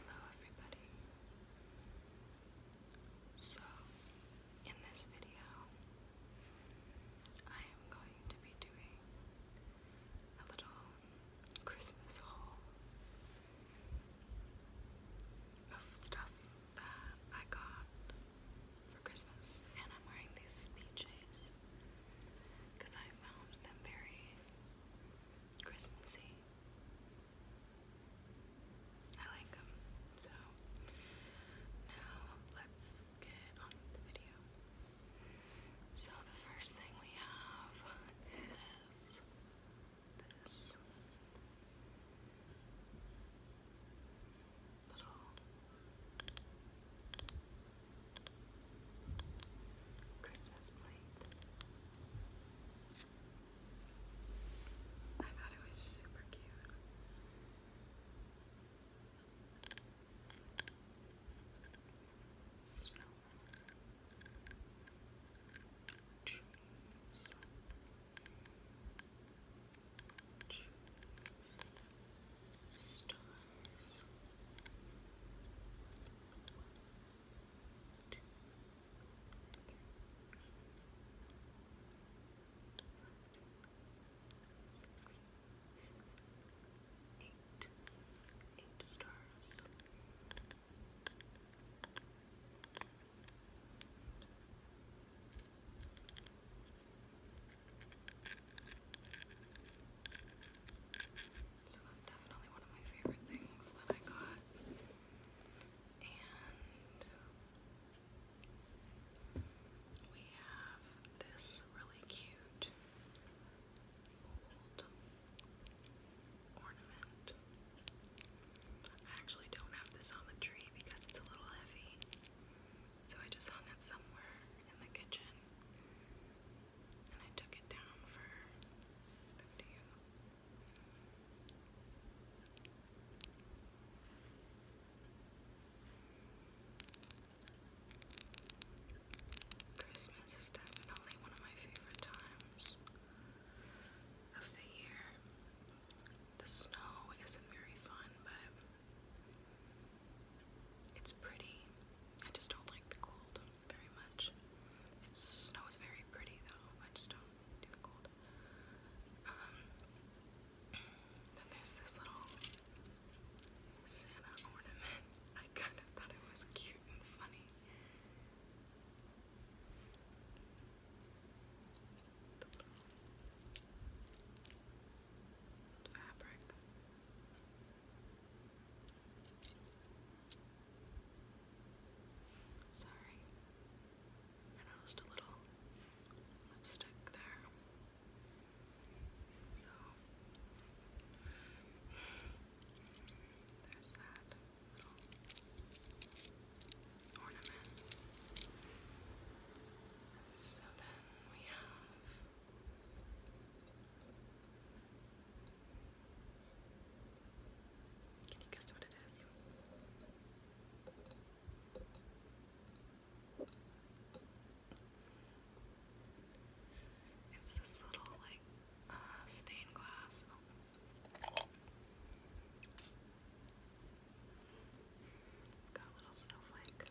Hello everybody. So, in this video, I am going to be doing a little Christmas haul of stuff that I got for Christmas, and I'm wearing these PJs because I found them very Christmassy. I like them. So now let's get on with the video. So the first thing we have is this little Christmas plate. I thought it was super cute. Snow. Trees. Trees. Stars. Two, six, seven, eight, eight stars. Nine, so that's definitely one of my favorite things that I got. And we have this really cute old ornament. I actually don't have this on the tree because it's a little heavy. So I just hung it somewhere in the kitchen. Christmas is definitely one of my favorite times of the year. The snow isn't very fun, but it's pretty. I just don't like the cold very much. It snows very pretty though. I just don't do the cold. Um, then there's this little Santa ornament. I kind of thought it was cute and funny. The little fabric. Sorry. I noticed a little lipstick there. So there's that ornament. So then we have can you guess what it is? It's this little, like, uh, stained glass. It's got a little snowflake.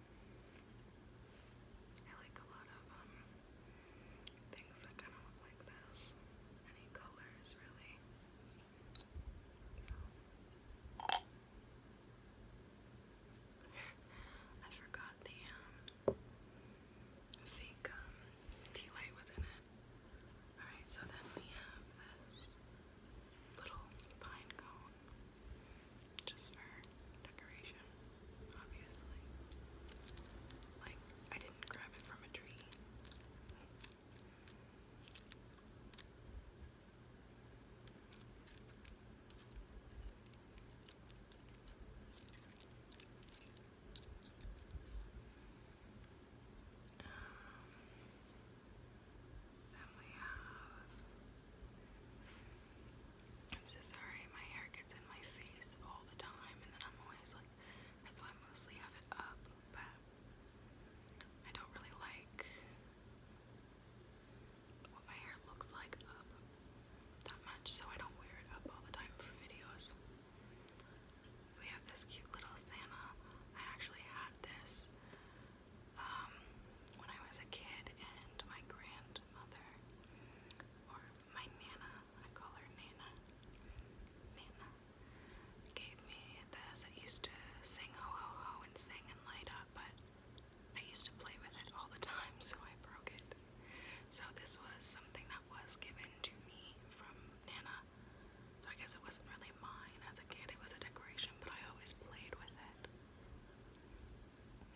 I like a lot of um things that kind of look like this. Any colors, really. So. I forgot the um, fake um, tea light was in it. Alright, so then we have this little pine just for decoration, obviously. Like, I didn't grab it from a tree. Um, then we have. I'm so sorry, my hair gets in my face all the time, and then I'm always like, that's why I mostly have it up, but I don't really like what my hair looks like up that much, so I don't wear it up all the time for videos. We have this cute little Santa. I actually had this um, when I was a kid, and my grandmother, or my nana, I call her Nana, Nana, gave me this. It used to sing ho ho ho and sing and light up, but I used to play with it all the time, so I broke it. So this was something that was given to me from Nana. So I guess it wasn't really mine as a kid. It was a decoration, but I always played with it.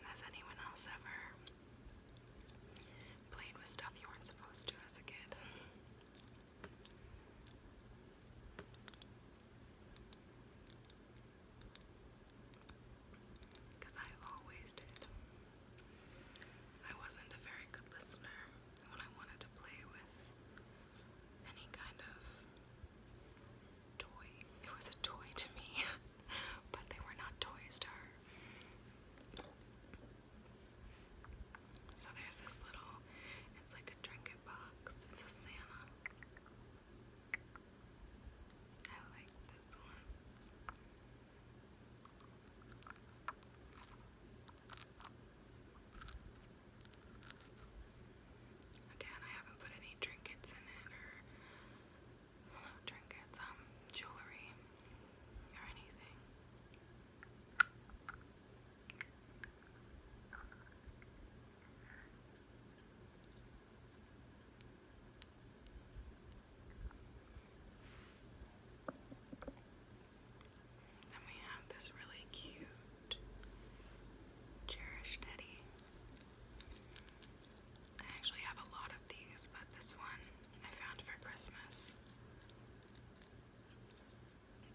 Has anyone else ever played with stuff you weren't supposed to as a kid? Because I always did. I wasn't a very good listener when I wanted to play with any kind of toy. It was a toy to me, but they were not toys to her. So there's this little, it's like a trinket box. It's a Santa. I like this one. Again, I haven't put any trinkets in it or trinkets, um, jewelry or anything. Then we have this really cute Cherish Nettie. I actually have a lot of these, but this one I found for Christmas.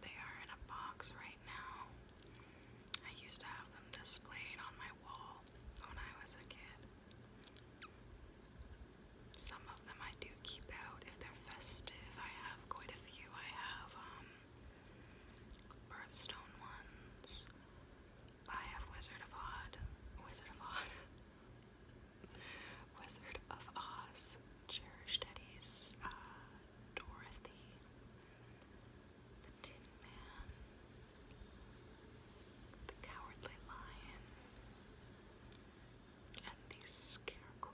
They are in a box right now. I used to have them displayed on my wall when I was a kid. Some of them I do keep out if they're festive. I have quite a few. I have um Birthstone ones. I have Wizard of Odd. Wizard of Odd. Wizard of Oz. Cherish Teddy's. Uh, Dorothy. Tin Man. The Cowardly Lion. And the Scarecrow.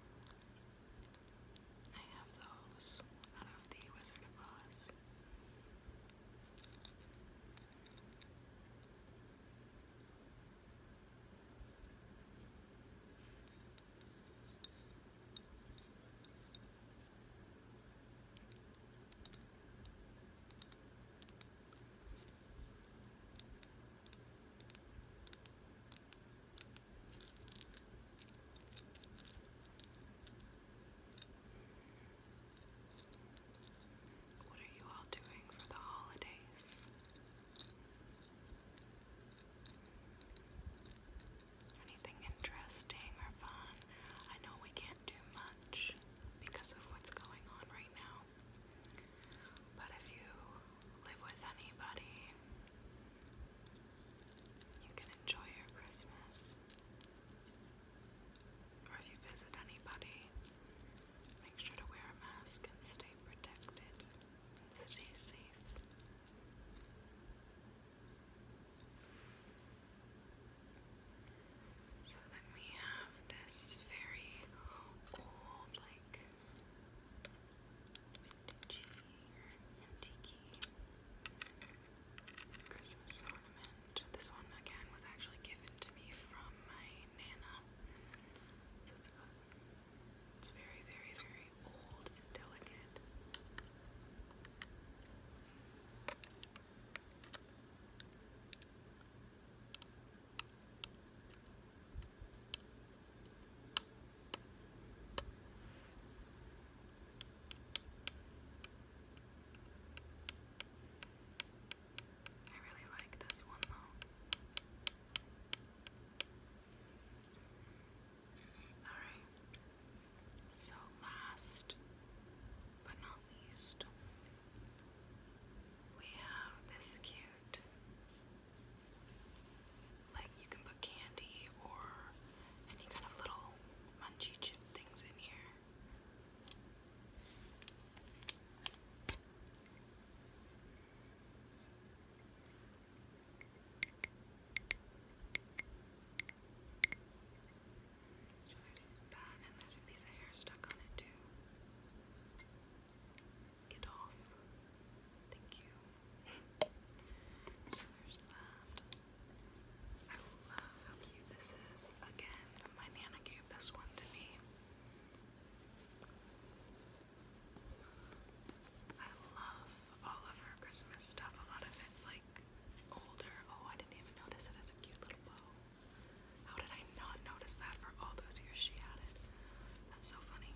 I have those out of the Wizard of Oz. What are you all doing for the holidays? Anything interesting or fun? I know we can't do much because of what's going on right now. But if you live with anybody you can enjoy your Christmas. Or if you visit anybody, make sure to wear a mask and stay protected. stay safe. So then we have this very old, like vintagey, antique Christmas ornament. This one again was actually given to me from my nana. So it's very, very, very old and delicate. I really like this one though. Alright, so last but not least, we have this cute like you can put candy or any kind of little munchy chip things in here. So there's that, and there's a piece of hair stuck on it too. Get off. Thank you. so there's that. I love how cute this is. Again, my Nana gave this one to me. I love all of her Christmas stuff. A lot of it's like older. Oh, I didn't even notice it as a cute little bow. How did I not notice that for all those years she had it? That's so funny.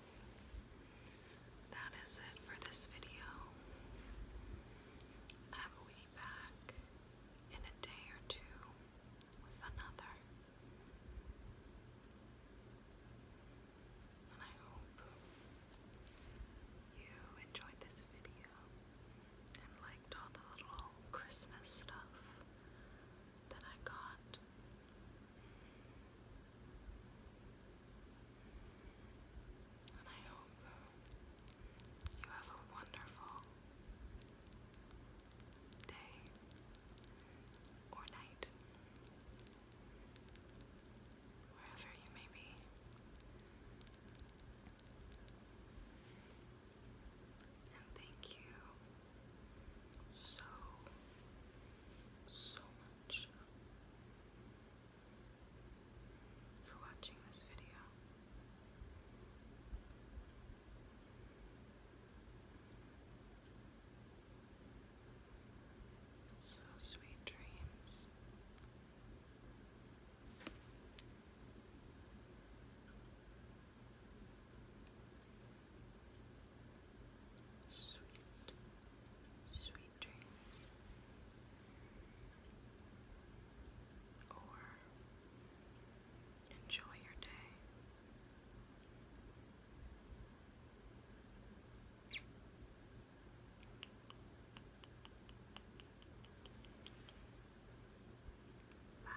that is it for this video. I will be back in a day or two with another. And I hope you enjoyed this video and liked all the little Christmas stuff that I got. And I hope uh, you have a wonderful day or night, wherever you may be. And thank you so, so much for watching this video. So sweet dreams. Sweet, sweet dreams or enjoy your day. Bye.